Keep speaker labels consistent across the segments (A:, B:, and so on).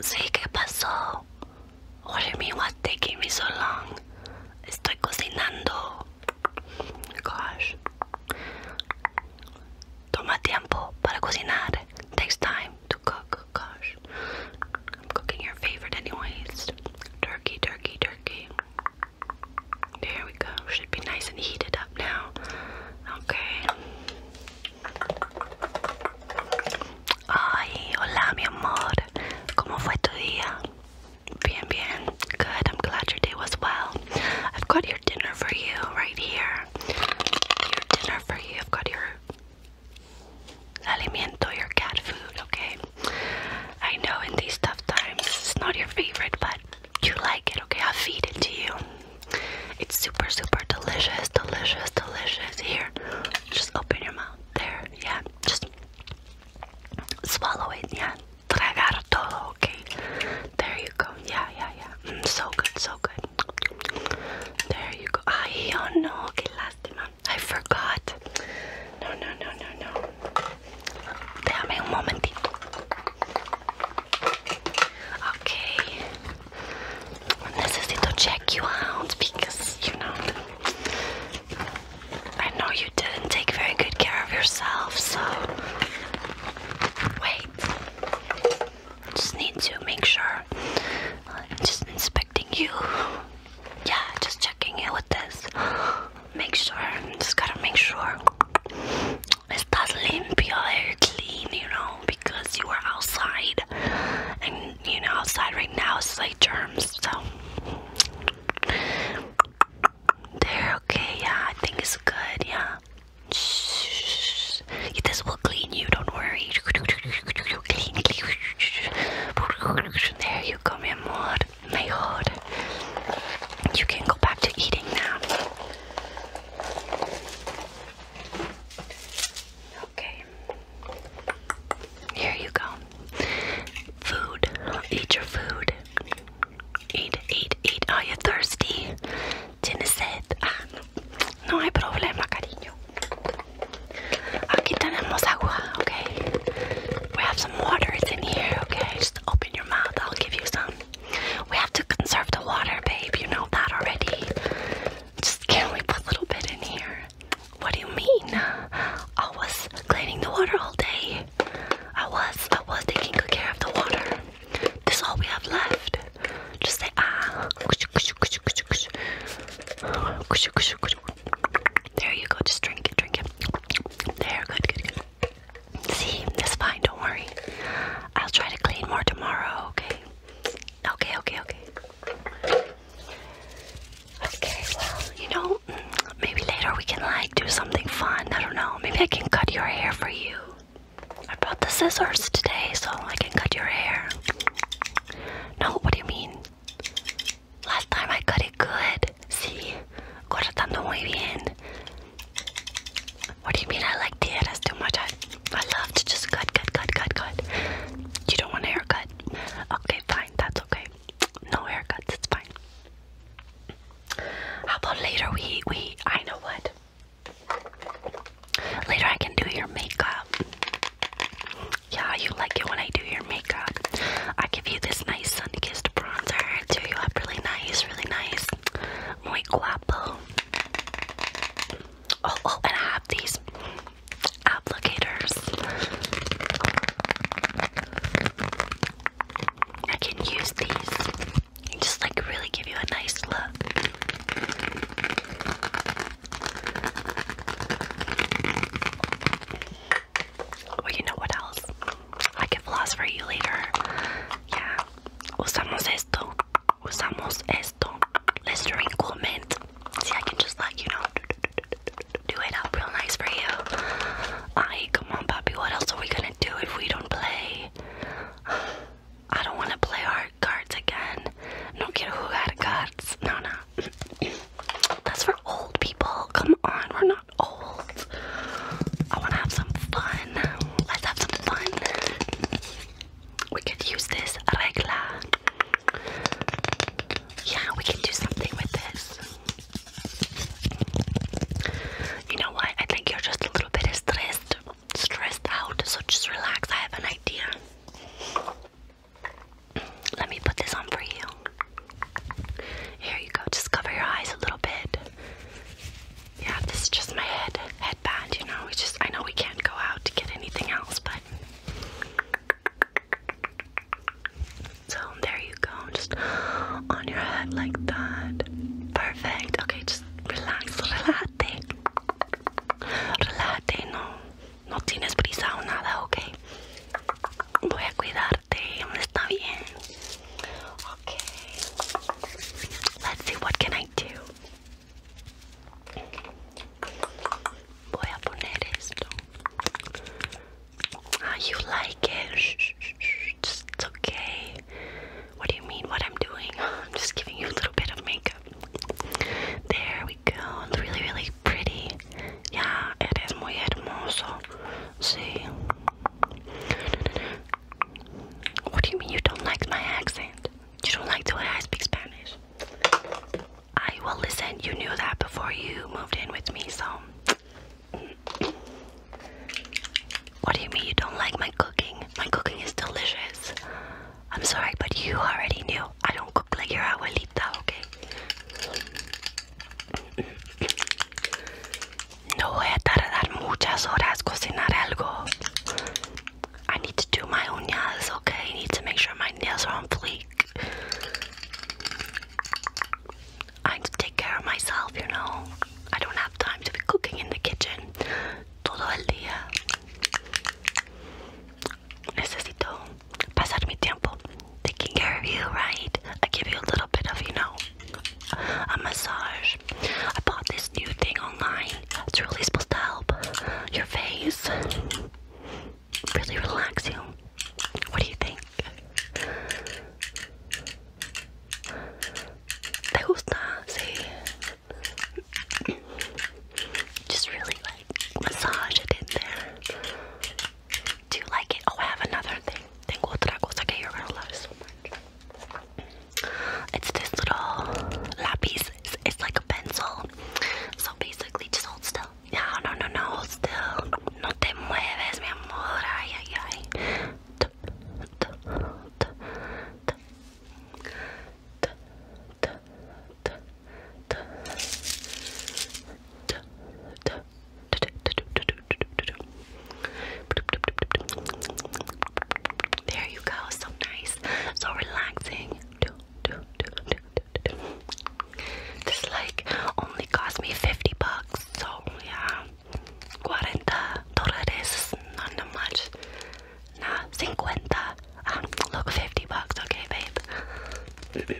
A: Sí, ¿qué pasó? What do you mean what's taking me so long? Estoy cocinando. Gosh. Toma Takes time to cook. I'm cooking your favorite anyways. Turkey, turkey, turkey. There we go. Should be nice and heated up now. Okay. hola, mi amor. ¿Cómo fue tu día? Bien, bien. Good. I'm glad your day was well. I've got your dinner for you right here. Your dinner for you. I've got your alimento, your cat food, okay? I know in these tough times it's not your favorite, but you like it, okay? I'll feed it to you. It's super, super delicious, delicious, delicious. Here, just open your mouth. There, yeah. Just swallow it, yeah. Tragar todo, okay? There you go. Yeah, yeah, yeah. Mm, so good, so good. There you go. Ay, oh no, que lástima. I forgot. No, no, no, no, no. Déjame un momentito. Okay. Necesito check you out because, you know, I know you didn't take very good care of yourself, so. Wait. Just need to make sure. I'm just inspecting you yeah, just checking in with this. Make sure, just gotta make sure estás limpio, they're eh, clean, you know, because you are outside, and you know, outside right now is like germs, so they're okay. Yeah, I think it's good. Yeah, Shh. this will clean you. Don't worry. Clean, clean. There you go, mi amor my god. You can go back to eating now. Okay. Here you go. Food. Eat your food. Eat, eat, eat. Are you thirsty? Tienes Ah, no. no hay problema, cariño. Aquí tenemos agua, okay? We have some water. It's in here, okay? Just open your mouth. I'll give you some. We have to conserve the water, babe. You know that already. Just can we put a little bit in here. What do you mean? I was cleaning the water all day. I was. I was taking good care of the water. This is all we have left. Just say ah. There you go. Just drink it. Drink it. There, good, good, good. See, that's fine, don't worry. I'll try to clean more tomorrow, okay? Okay, okay, okay. Okay, well, you know, maybe later we can like do something fun. I don't know. Maybe I can cut your hair for you. I brought the scissors today so I can cut your hair. No, what do you mean? Last time I got it good. Sí, cortando muy bien. What do you mean I like tijeras too much? I, I love to just cut, cut, cut, cut, cut. You don't want a haircut? Okay, fine, that's okay. No haircuts, it's fine. How about later we, we, I know what. Later I can do your makeup. Yeah, you like it when I do your makeup. I give you this nice sun kissed bronzer. Tear you up really nice, really nice. Muy guapo. Oh, oh, and I have these applicators. I can use these and just like really give you a nice look. Well, you know what else? I can floss for you later. Yeah. Usamos esto. Usamos esto. Let's drink cool mint. See, I can just like, you know, do it up real nice for you. Ay, come on, puppy. What else are we gonna do if we don't play? I don't wanna play our cards again. No quiero jugar cards. No, no. That's for old people. Come on, we're not old. I want to have some fun. Let's have some fun. We could use this regla. Yeah, we can do something with this. You know what? I think you're just a little bit stressed, stressed out. So just relax. I have an idea. Let me put this on for you. Here you go. Just cover your eyes a little bit. Yeah, this is just my head headband, you know. We just I know we can't go out to get anything else, but so there you go. Just on your head like that. Perfect. Okay, just relax. Relate. Relate, no no tienes prisa o nada, ok. Voy a cuidarte, está bien. Ok. Let's see what can I do. Voy a poner esto. Ah, you like it? it's okay. What do you mean? What I'm doing? I'm just giving you a little bit of makeup. There we go. It's really, really pretty. Ya, eres muy hermoso. See. What do you mean you don't like my accent? You don't like the way I speak Spanish? I will listen. You knew that before you moved in with me, so. What do you mean you don't like my cooking? My cooking is delicious. I'm sorry, but you already knew. I don't cook like your abuelita, okay? No voy a tardar muchas horas cocinar algo. I need to do my nails. okay? I need to make sure my nails are on fleek. I need to take care of myself, you know. I don't have time to be cooking in the kitchen todo el día necesito pasar mi tiempo taking care of you, right? I give you a little bit of, you know, a massage. I bought this new thing online. It's really supposed to help your face. Really relax you. What do you think? ¿Te gusta? Sí. Just really like massage it in there. Do you like it? Oh, I have another thing. Tengo otra cosa que you're gonna love so much. It's this little lapis. It's, like a pencil. So basically, just hold still. No, no, no, no, hold still. No te mueves, mi amor. Ay, ay, ay. There you go, so nice, so relaxing. This like only cost me 50 bucks, so yeah. 40 dólares is not that much. Nah, 50. Ah, look, 50 bucks, okay, babe.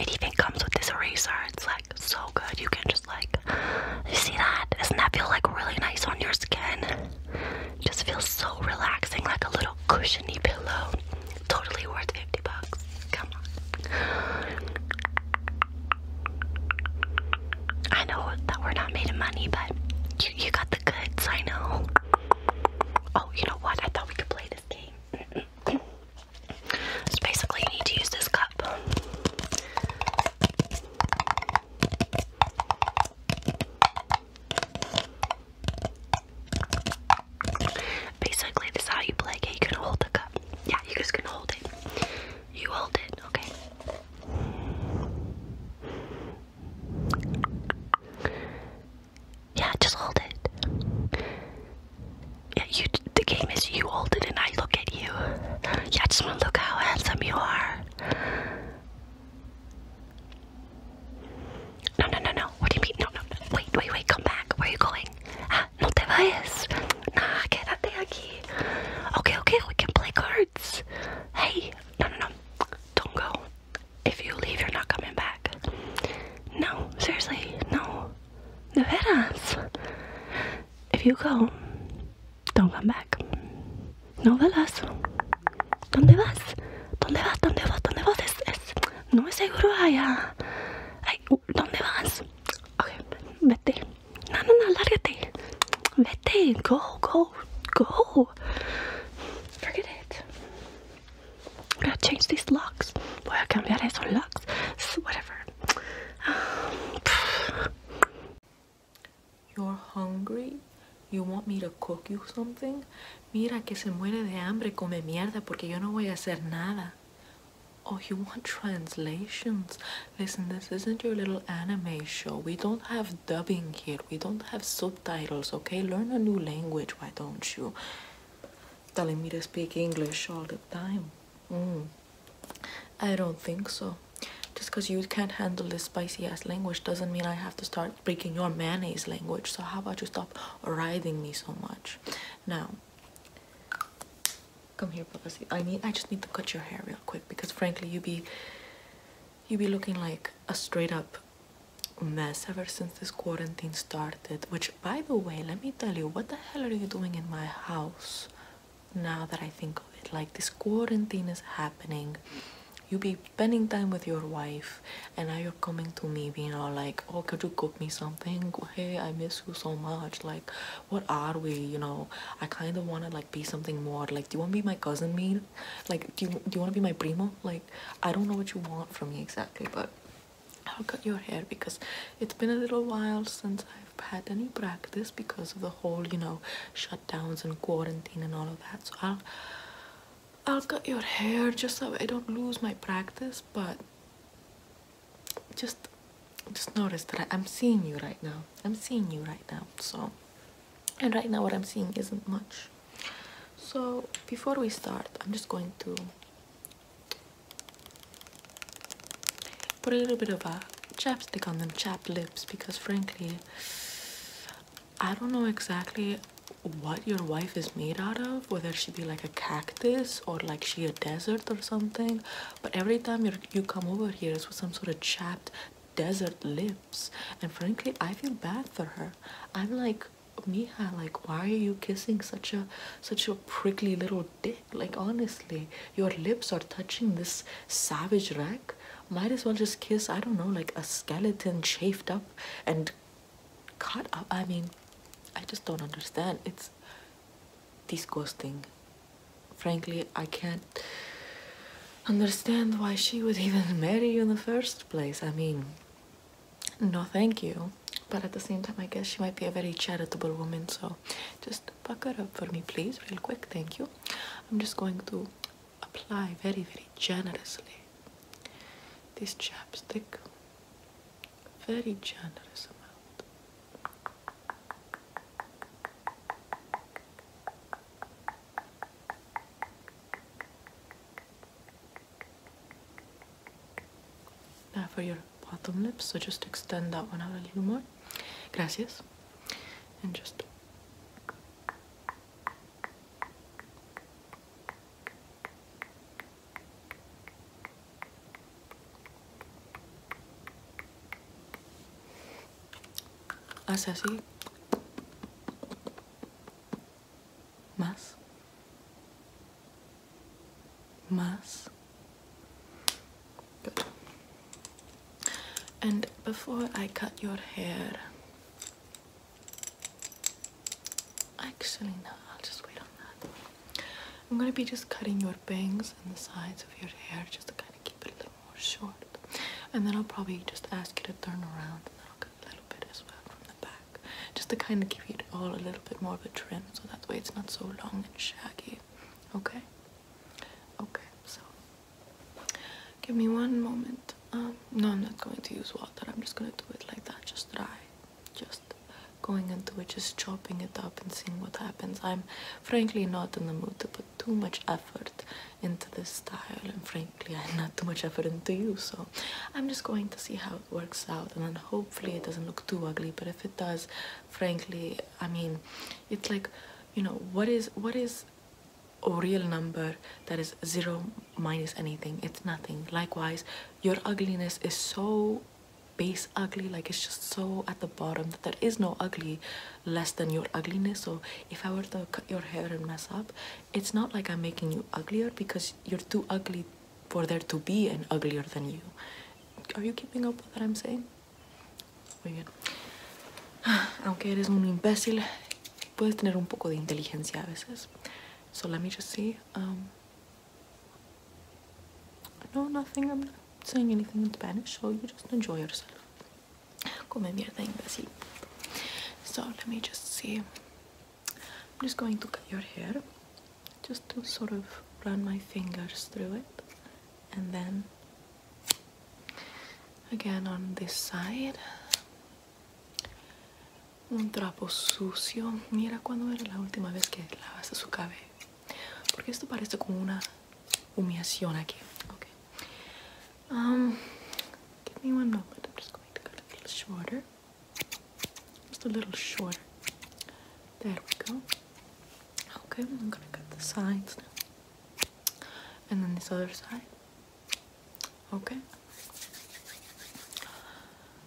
A: It even comes with this eraser. It's like so good. You can just like, you see that? Doesn't that feel like really nice on your skin? just feels so relaxing, like a little cushiony pillow. Totally worth 50 bucks. Come on. I know that we're not made of money, but you, you got the goods, I know. Oh, you know what? I thought we could play this so basically, you need to use this cup. Basically, this how you play. Okay, you can hold the cup. Yeah, you guys can hold it. You hold it, okay? Yeah, just hold it. Yeah, you. The game is you hold it and I look at you. Yeah, I just want to look how handsome you are. No, no, no, no. What do you mean? No, no, no. Wait, wait, wait. Come back. Where are you going? Ah, no te vayas. Nah, quédate aquí. Okay, okay. We can play cards. Hey. No, no, no. Don't go if you leave, you're not coming back. No, seriously, no. De veras. If you go, don't come back. No velas. ¿Dónde vas? ¿Dónde vas? ¿Dónde vas? ¿Dónde vas? Es, es, no es seguro allá. Ay, uh, ¿dónde vas? Okay, vete. No, no, no, lárgate. Vete, go, go, go. Forget it. Would I change these locks? Voy a cambiar esos
B: locks. whatever. You're hungry? You want me to cook you something? Mira que se muere de hambre, come mierda, porque yo no voy a hacer nada. Oh, you want translations? Listen, this isn't your little anime show. We don't have dubbing here. We don't have sub Titles, okay? Learn a new language, why don't you? Telling me to speak English all the time. Mm. I don't think so. Just because you can't handle this spicy ass language doesn't mean I have to start speaking your mayonnaise language. So, how about you stop writing me so much? Now, come here, Papa. I need. I just need to cut your hair real quick because, frankly, you be, you be looking like a straight up mess ever since this quarantine started. Which, by the way, let me tell you, what the hell are you doing in my house now that I think of it? Like, this quarantine is happening. You be spending time with your wife, and now you're coming to me being all like, Oh, could you cook me something? Hey, I miss you so much. Like, what are we? You know, I kind of want to like be something more. Like, do you want to be my cousin meal? like do you do you want to be my primo like i don't know what you want from me exactly but i'll cut your hair because it's been a little while since i've had any practice because of the whole you know shutdowns and quarantine and all of that so i'll i'll cut your hair just so i don't lose my practice but just just notice that i'm seeing you right now i'm seeing you right now so and right now what i'm seeing isn't much so before we start, I'm just going to put a little bit of a chapstick on them chapped lips because frankly I don't know exactly what your wife is made out of, whether she be like a cactus or like she a desert or something. But every time you come over here, it's with some sort of chapped desert lips. And frankly, I feel bad for her. I'm like, Miha, like why are you kissing such a such a prickly little dick? Like honestly, your lips are touching this savage rack. Might as well just kiss, I don't know, like a skeleton chafed up and cut up. I mean, I just don't understand. It's disgusting. Frankly, I can't understand why she would even marry you in the first place. I mean, no thank you but at the same time i guess she might be a very charitable woman so just buck her up for me please real quick thank you i'm just going to apply very very generously this chapstick very generous amount now for your bottom lip, so just extend that one out a little more. Gracias. And just Haz así Más. Más. And before I cut your hair, actually, no, I'll just wait on that. I'm gonna be just cutting your bangs and the sides of your hair just to kind of keep it a little more short. And then I'll probably just ask you to turn around and then I'll cut a little bit as well from the back just to kind of give it all a little bit more of a trim so that way it's not so long and shaggy okay okay so give me one moment um, no i'm not going to use water i'm just going to do it like that just dry just going into it just chopping it up and seeing what happens i'm frankly not in the mood to put too much effort into this style and frankly I had not too much effort into you so I'm just going to see how it works out and then hopefully it doesn't look too ugly but if it does frankly I mean it's like you know what is what is a real number that is zero minus anything it's nothing likewise your ugliness is so base ugly like it's just so at the bottom that there is no ugly less than your ugliness so if I were to cut your hair and mess up it's not like I'm making you uglier because you're too ugly for there to be an uglier than you. Are you keeping up with what I'm saying? Muy bien. Aunque eres un imbécil, puedes tener un poco de inteligencia a veces. So let me just see. Um, no, nothing. I'm not saying anything in Spanish, so you just enjoy yourself. como mierda imbécil. So let me just see. I'm just going to cut your hair, just to sort of run my fingers through it, and then again on this side. Un trapo sucio. Mira cuando era la última vez que lavaste su cabello. Porque esto parece como una humillación aquí. Okay. Um, give me one moment. I'm just going to cut a little shorter. Just a little shorter. There we go. Okay, I'm gonna cut the sides now. And then this other side. Okay.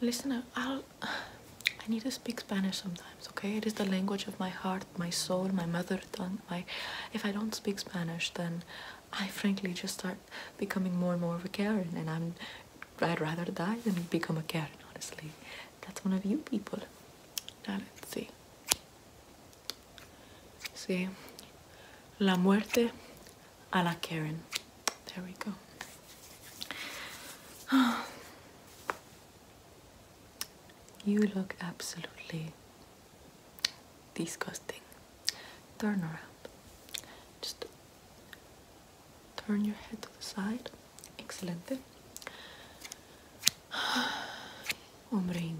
B: Listen, I'll. I need to speak Spanish sometimes, okay? It is the language of my heart, my soul, my mother tongue. My, if I don't speak Spanish, then I frankly just start becoming more and more of a Karen, and I'm I'd rather die than become a Karen. Honestly, that's one of you people. Now let's see. See, la muerte a la Karen. There we go. You look absolutely disgusting turn around. Just turn your head to the side. Excellent. There we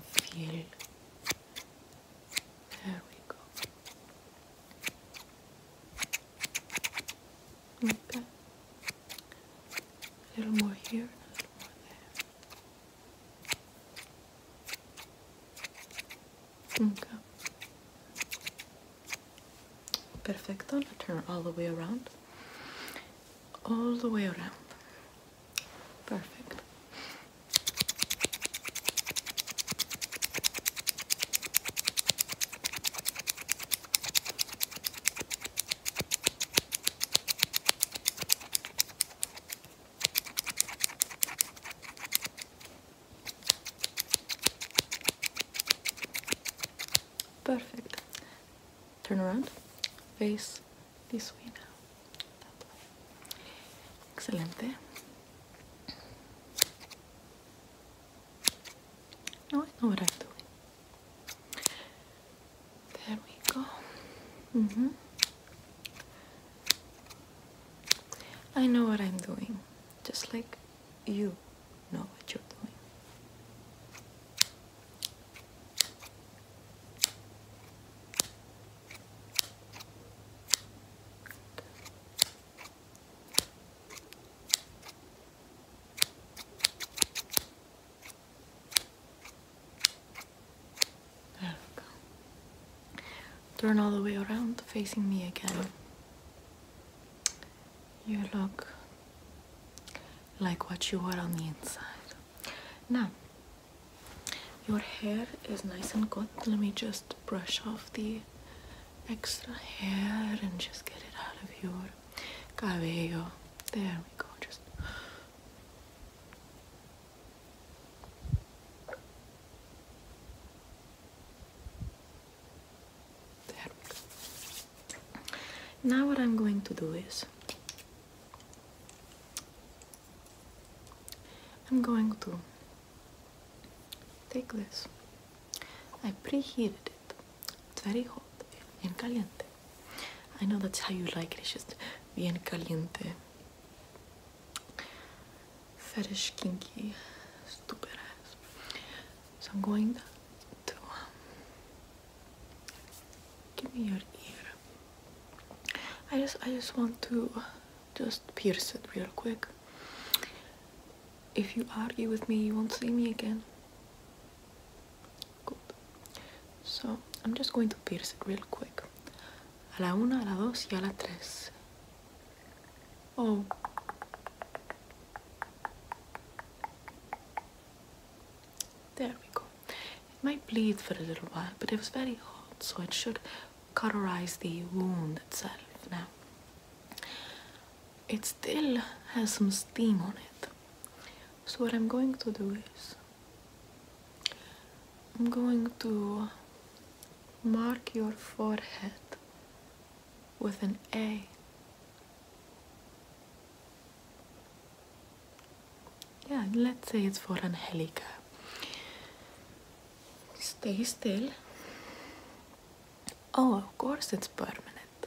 B: go. Okay. A little more here, a little more there. Okay. Perfecto. Now turn all the way around. All the way around. Perfect. Perfect. Turn around. Face this way now. Excellent. way. I know what I'm doing. There we go. Mm-hmm. I know what I'm doing, just like you know what you're doing. There we go. Turn all the way around, facing me again. You look like what you were on the inside. Now, your hair is nice and good. Let me just brush off the extra hair and just get it out of your cabello. There we go. Just now what I'm going to do is I'm going to take this. I preheated it. It's very hot. Bien caliente. I know that's how you like it. It's just bien caliente fetish kinky stupid ass. So I'm going to um, give me your ear. I just I just want to just pierce it real quick. If you argue with me, you won't see me again. Good. So I'm just going to pierce it real quick a la 1, a la 2 y a la 3. Oh. There we go. It might bleed for a little while, but it was very hot, so it should cauterize the wound itself. Now, it still has some steam on it. So what I'm going to do is I'm going to mark your forehead with an A. Yeah, let's say it's for Angelica. Stay still. Oh, of course it's permanent.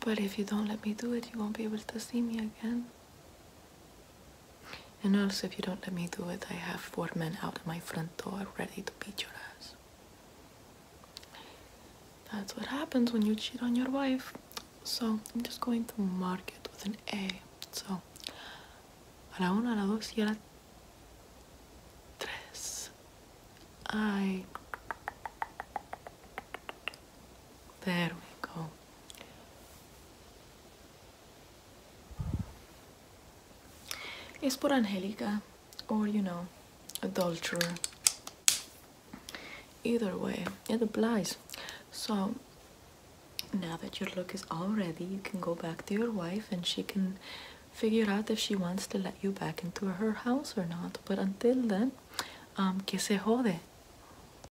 B: But if you don't let me do it, you won't be able to see me again. And also, if you don't let me do it, I have four men out my front door ready to beat your ass. That's what happens when you cheat on your wife. So, I'm just going to mark it with an A. So, a la una, a la dos y a la tres. I there we go. It's por Angelica or, you know, adulterer. Either way, it applies. So, now that your look is all ready, you can go back to your wife and she can figure out if she wants to let you back into her house or not. But until then, um, que se jode.